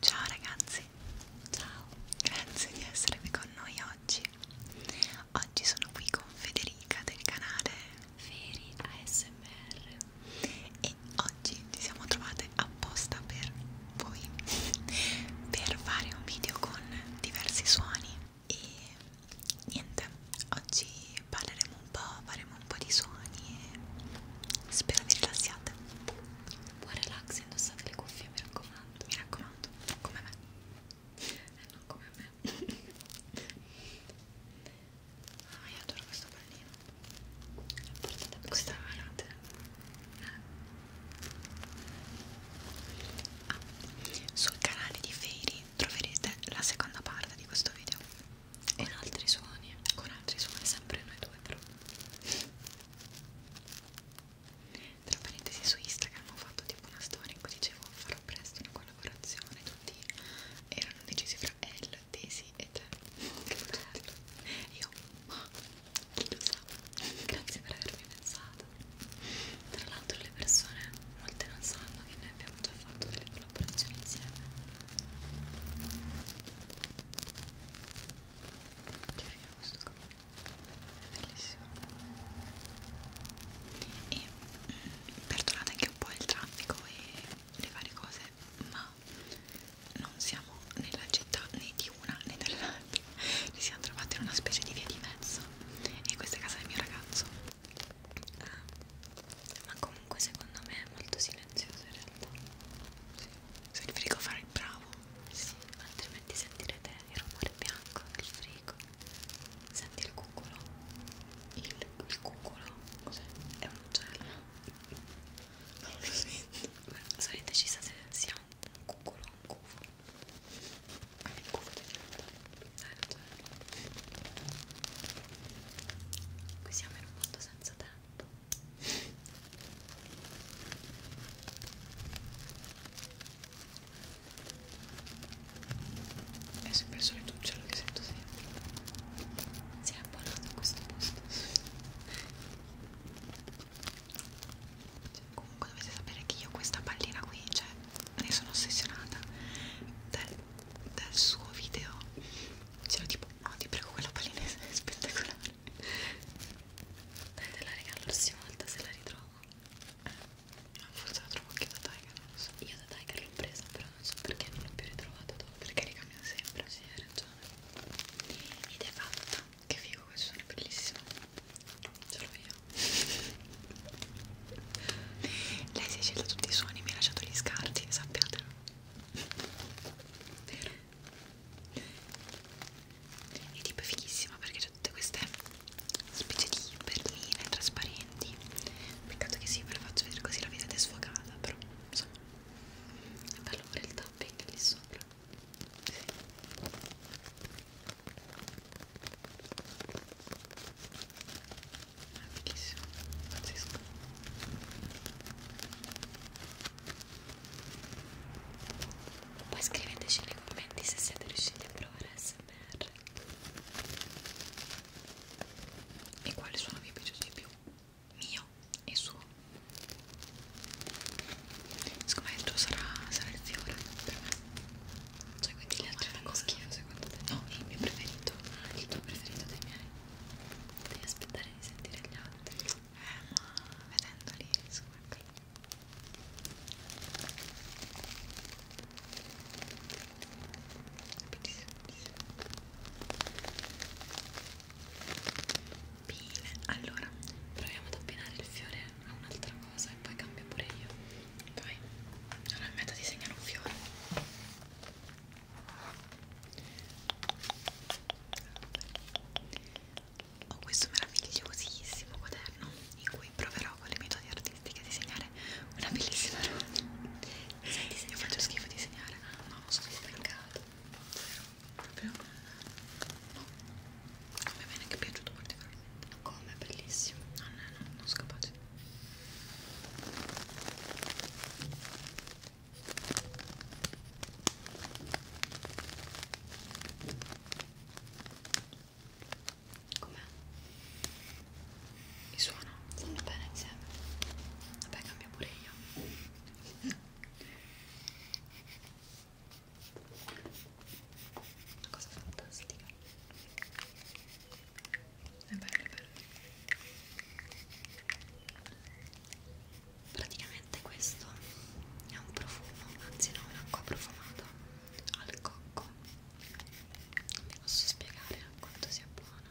Ciao ragazzi, ciao, grazie di essere qui con noi oggi. Oggi sono qui con Federica del canale Feri ASMR e oggi ci siamo trovate apposta per voi per fare un video con diversi suoni e niente, oggi parleremo un po', faremo un po' di suoni e spero vi rilassiate buon relax indossate le cuffie mi raccomando mi raccomando come me eh, non come me ah io adoro questo pallino portate a questa veramente eh. ah, sul canale di Fairy troverete la seconda parte di questo video e in altri suoni, con altri suoni, sempre noi due però tra parentesi su Instagram ho fatto tipo una storia in cui dicevo farò presto una collaborazione tutti erano decisi fra L, Daisy e te che bello io, ma chi lo sa grazie per avermi pensato tra l'altro le persone molte non sanno che noi abbiamo già fatto delle collaborazioni insieme Cerchiamo questo qua. È bellissimo. E mm, perdonate anche un po' il traffico e le varie cose, ma non siamo nella città né di una né dell'altra. Ci siamo trovati in una specie di via di mezzo. E questa è casa del mio ragazzo. Ah, ma comunque secondo me è molto silenziosa silenzioso in realtà sì. se il frigo farà il bravo sì, altrimenti sentirete il rumore bianco del frigo senti il cucolo il, il cucolo cos'è? è un uccello non lo sento sono indecisa se sia un cucolo o un cufo ah, il cufo ti certo qui siamo in un mondo senza tempo è sempre il solito uccello che sento sempre. Si è abbonato a questo posto. Cioè, comunque dovete sapere che io questa pallina qui, cioè, ne sono ossessionata dal, dal suo video c'era tipo no ah, ti prego quella palinese è spettacolare dai te la regalo la prossima volta se la ritrovo eh, forse la trovo anche da Tiger non lo so io da Tiger l'ho presa però non so perché non l'ho più ritrovata dopo perché li cambiano sempre sì hai ragione ed è fatta che figo questo è bellissimo ce l'ho io lei si è scelta tutti i suoni mi ha lasciato gli scarti sappiatelo vero e tipo è fighissima perché c'è tutte queste specie di perline trasparenti peccato che sì ve la faccio vedere così la vedete sfogata però insomma è bello pure il tapping lì sopra sì è bellissimo, pazzesco poi scriveteci nei commenti se siete riusciti a provare ASMR e quale suono vi è piaciuto di più mio e suo siccome il tuo sarà, sarà il fiore per me cioè quindi le altre fanno schifo secondo te? no, il mio preferito il tuo preferito dei miei Devi aspettare di sentire gli altri. Eh, ma vedendoli riesco a capire. Bene, allora proviamo ad abbinare il fiore a un'altra cosa e poi cambio pure io. Dai, allora in meta disegnare un fiore. Ho questo meravigliosissimo quaderno in cui proverò con le metodi artistiche a disegnare una bellissima roba. Io faccio schifo a disegnare. No, sono stancato. Zero. Proprio? No. Mi è bene che è piaciuto particolarmente. Come? Bellissimo. No, no, no, non sono capace it. Com'è? Mi suona? Stanno bene insieme? Vabbè, cambio pure io. Una cosa fantastica è bello, è bello praticamente questo è un profumo anzi no, un'acqua profumata al cocco non vi posso spiegare quanto sia buona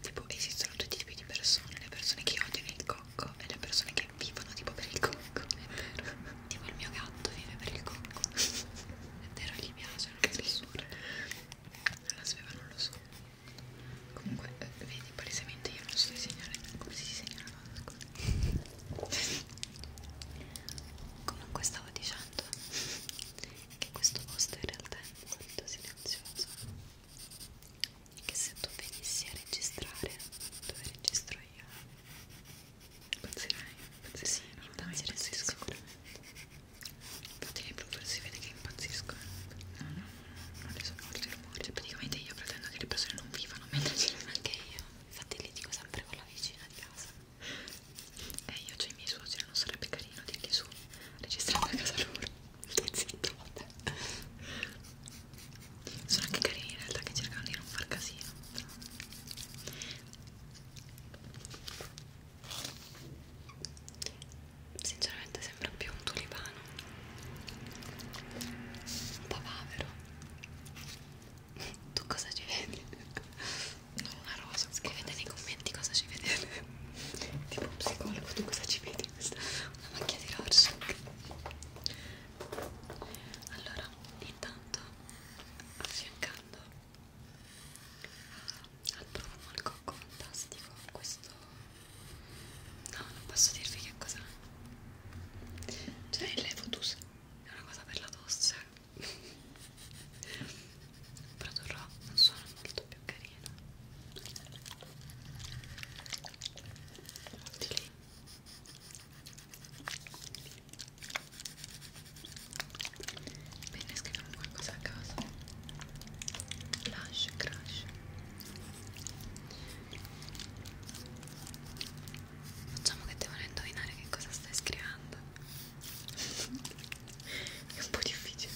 tipo esistono tutti i tipi di persone le persone che odiano il cocco gatto e le persone che vivono tipo per il cocco è vero tipo il mio gatto vive per il cocco è vero gli piace la fessura la sveva non lo so comunque eh, vedi palesemente io non so disegnare come si disegna una cosa scusa comunque stavo dicendo che questo posto in realtà è molto silenzioso che se tu venissi a registrare dove registro io Impazzirei, impazzirei, sì, no, impazzirei no, sicuramente Infatti nei blooper si vede che impazziscono No, no, non le sopporto i rumori Cioè praticamente io pretendo che le persone non vivano mentre ce l'ho anche io Infatti li dico sempre con la vicina di casa E eh, io cioè i miei suoceri, non sarebbe carino dirgli su Registrando a casa loro Stai zitto, vabbè sono anche carini in realtà che cercano di non far casino sinceramente sembra più un tulipano un papavero tu cosa ci vedi? non una rosa scrivete nei commenti cosa ci vedete tipo un psicologo tu cosa ci vedi? una macchia di Rorschach allora intanto affiancando al profumo al cocco fantastico questo no non posso dirvi che cos'è cioè il levotus è una cosa per la tosse produrrò un suono molto più carino di lì Bene, scriviamo qualcosa a caso. Lush, crash. Facciamo che devono indovinare che cosa stai scrivendo. È un po' difficile.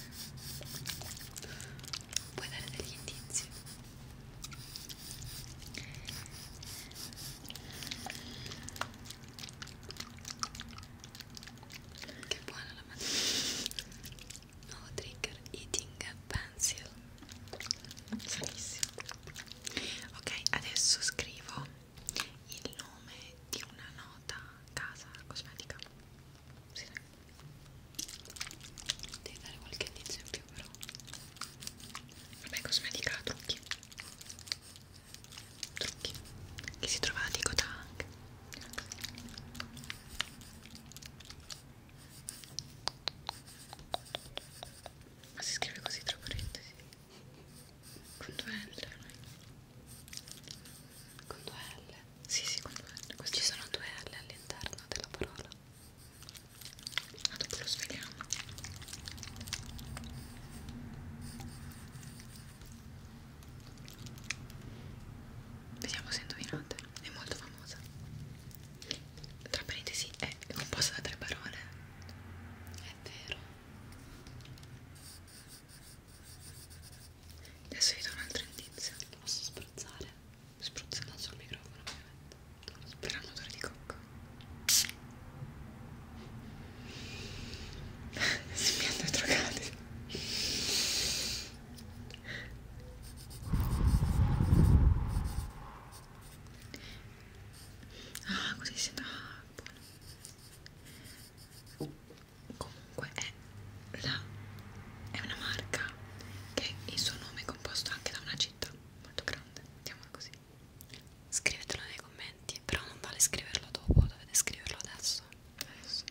Puoi dare degli indizi? Che buona la mattina Nuovo trigger Eating Pencil Salissimo Ok, adesso scrivo il nome di una nota casa cosmetica sì, Devi dare qualche indizio in più però Vabbè cosmetica, trucchi Trucchi Che si trova a Ticota anche Ma si scrive così tra parentesi Con due L Con due L? Sì sì con due L Questi Ci sono due L all'interno della parola ma ah, dopo lo svegliamo. Vediamo se indovinate. È molto famosa. Tra parentesi è composta da tre parole. È vero. Adesso vi do un altro indizio. Lo posso spruzzare? spruzzata sul microfono ovviamente per l'odore di cocca si mi hanno drogati ah così si sembra ah, buono uh, comunque è la è una marca città che il suo nome è composto anche da una città molto grande, mettiamola così scrivetelo nei commenti, però non vale scriverlo dopo, dovete scriverlo adesso adesso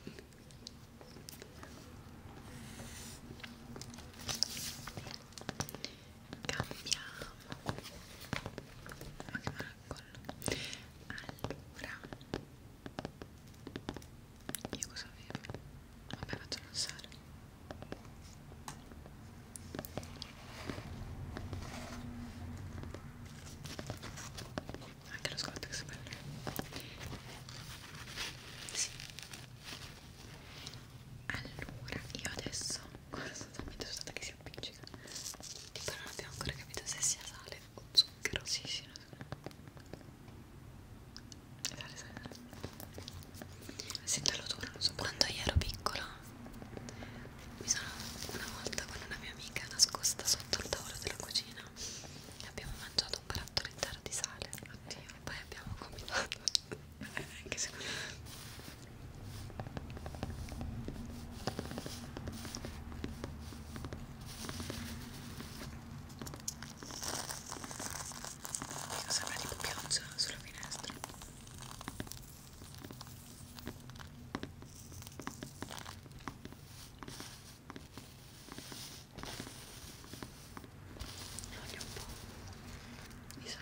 cambiamo ma che mancolo allora io cosa avevo? Vabbè facciamo il sale anche lo scottex bello sì allora io adesso guarda sostanzialmente sono stata che si appiccica però non abbiamo ancora capito se sia sale o zucchero sì sì Sale, sale, sale. Sento l'odore, non so quando io ero piccola mi sono una volta con una mia amica nascosta sotto il tavolo della cucina e abbiamo mangiato un barattolo intero di sale Oddio. e poi abbiamo combinato anche se Dico, sembra tipo pioggia sulla finestra. Voglio un po' di sale, sì.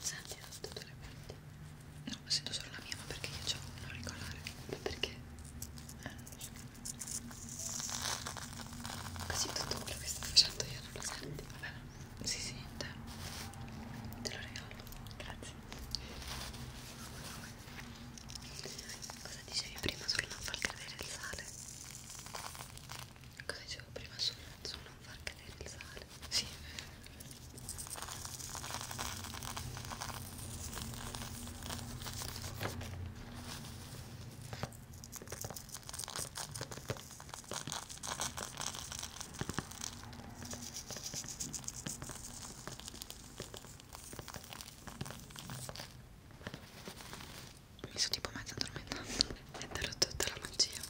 Senti, ho tutto le menti. No, sento solo la mia, ma perché io ho un auricolare? Perché? Eh, Così tutto quello che sto facendo io non lo senti. Vabbè, si sente. Te lo regalo. Grazie. Cosa dicevi prima sul non far cadere il sale? cosa dicevo prima su non far cadere il sale sì mi sono tipo mezza addormentata metterò tutta la magia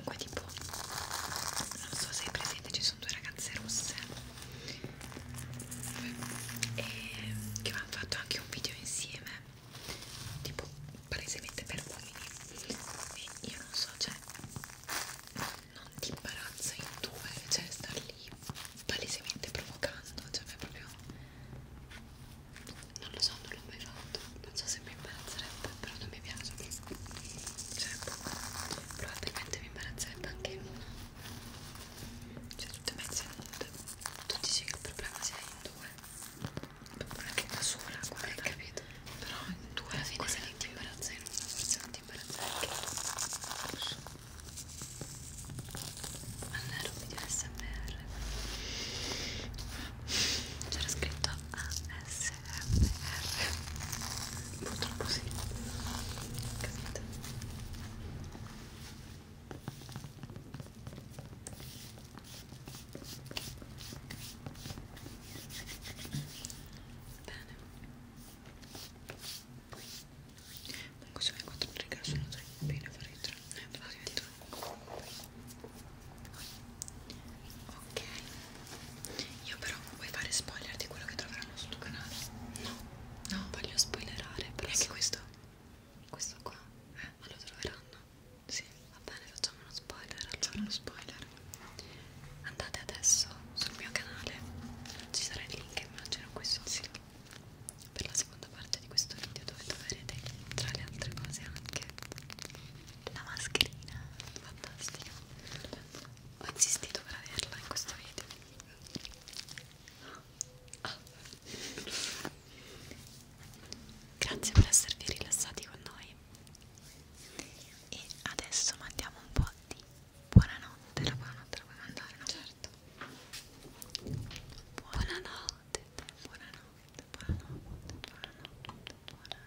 comunque tipo non so se hai presente ci sono due ragazze rosse e che hanno fatto anche un video insieme tipo palesemente per uomini e io non so cioè non ti imbarazza in due, cioè sta lì palesemente provocando, cioè è proprio non lo so, non l'ho mai fatto, non so se mi imbarazzerebbe, però non mi piace cioè, probabilmente mi imbarazzerebbe anche in una cioè tutte mezze nude tu dici che il problema sia in due ma anche da sola, guarda, hai capito? però tu alla fine se ti imbarazza in una forse non ti imbarazza anche rosso al nero mi dio smr c'era scritto ASMR purtroppo sì capito Bene. Comunque sono le quattro righe, sono tre. Bene, farei tre. Eh, farei tre. Ok. Io però vuoi fare spoiler di quello che troveranno sul tuo canale? No. No, voglio spoilerare. Però anche questo? Questo qua? Eh, ma lo troveranno? Sì. Va bene, facciamo uno spoiler, allora lo spoiler andate adesso sul mio canale ci sarà il link immagino qui sotto per la seconda parte di questo video dove troverete tra le altre cose anche la mascherina fantastica ho insistito per averla in questo video oh. grazie per esservi rilassati con noi e adesso mandiamo un po' di buonanotte la buonanotte la puoi mandare no? certo buonanotte buonanotte buonanotte buonanotte buonanotte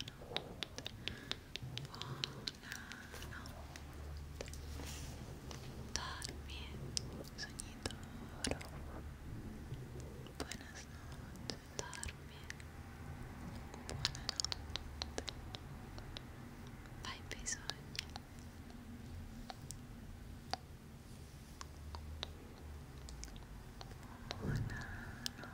buonanotte dormi sogni d'oro buonasnotte ascoltarmi. Buonanotte. Vai per i sogni. Buonanotte.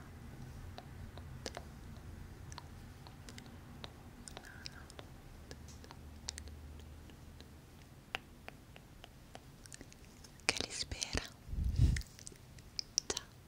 Che li spera. Ciao.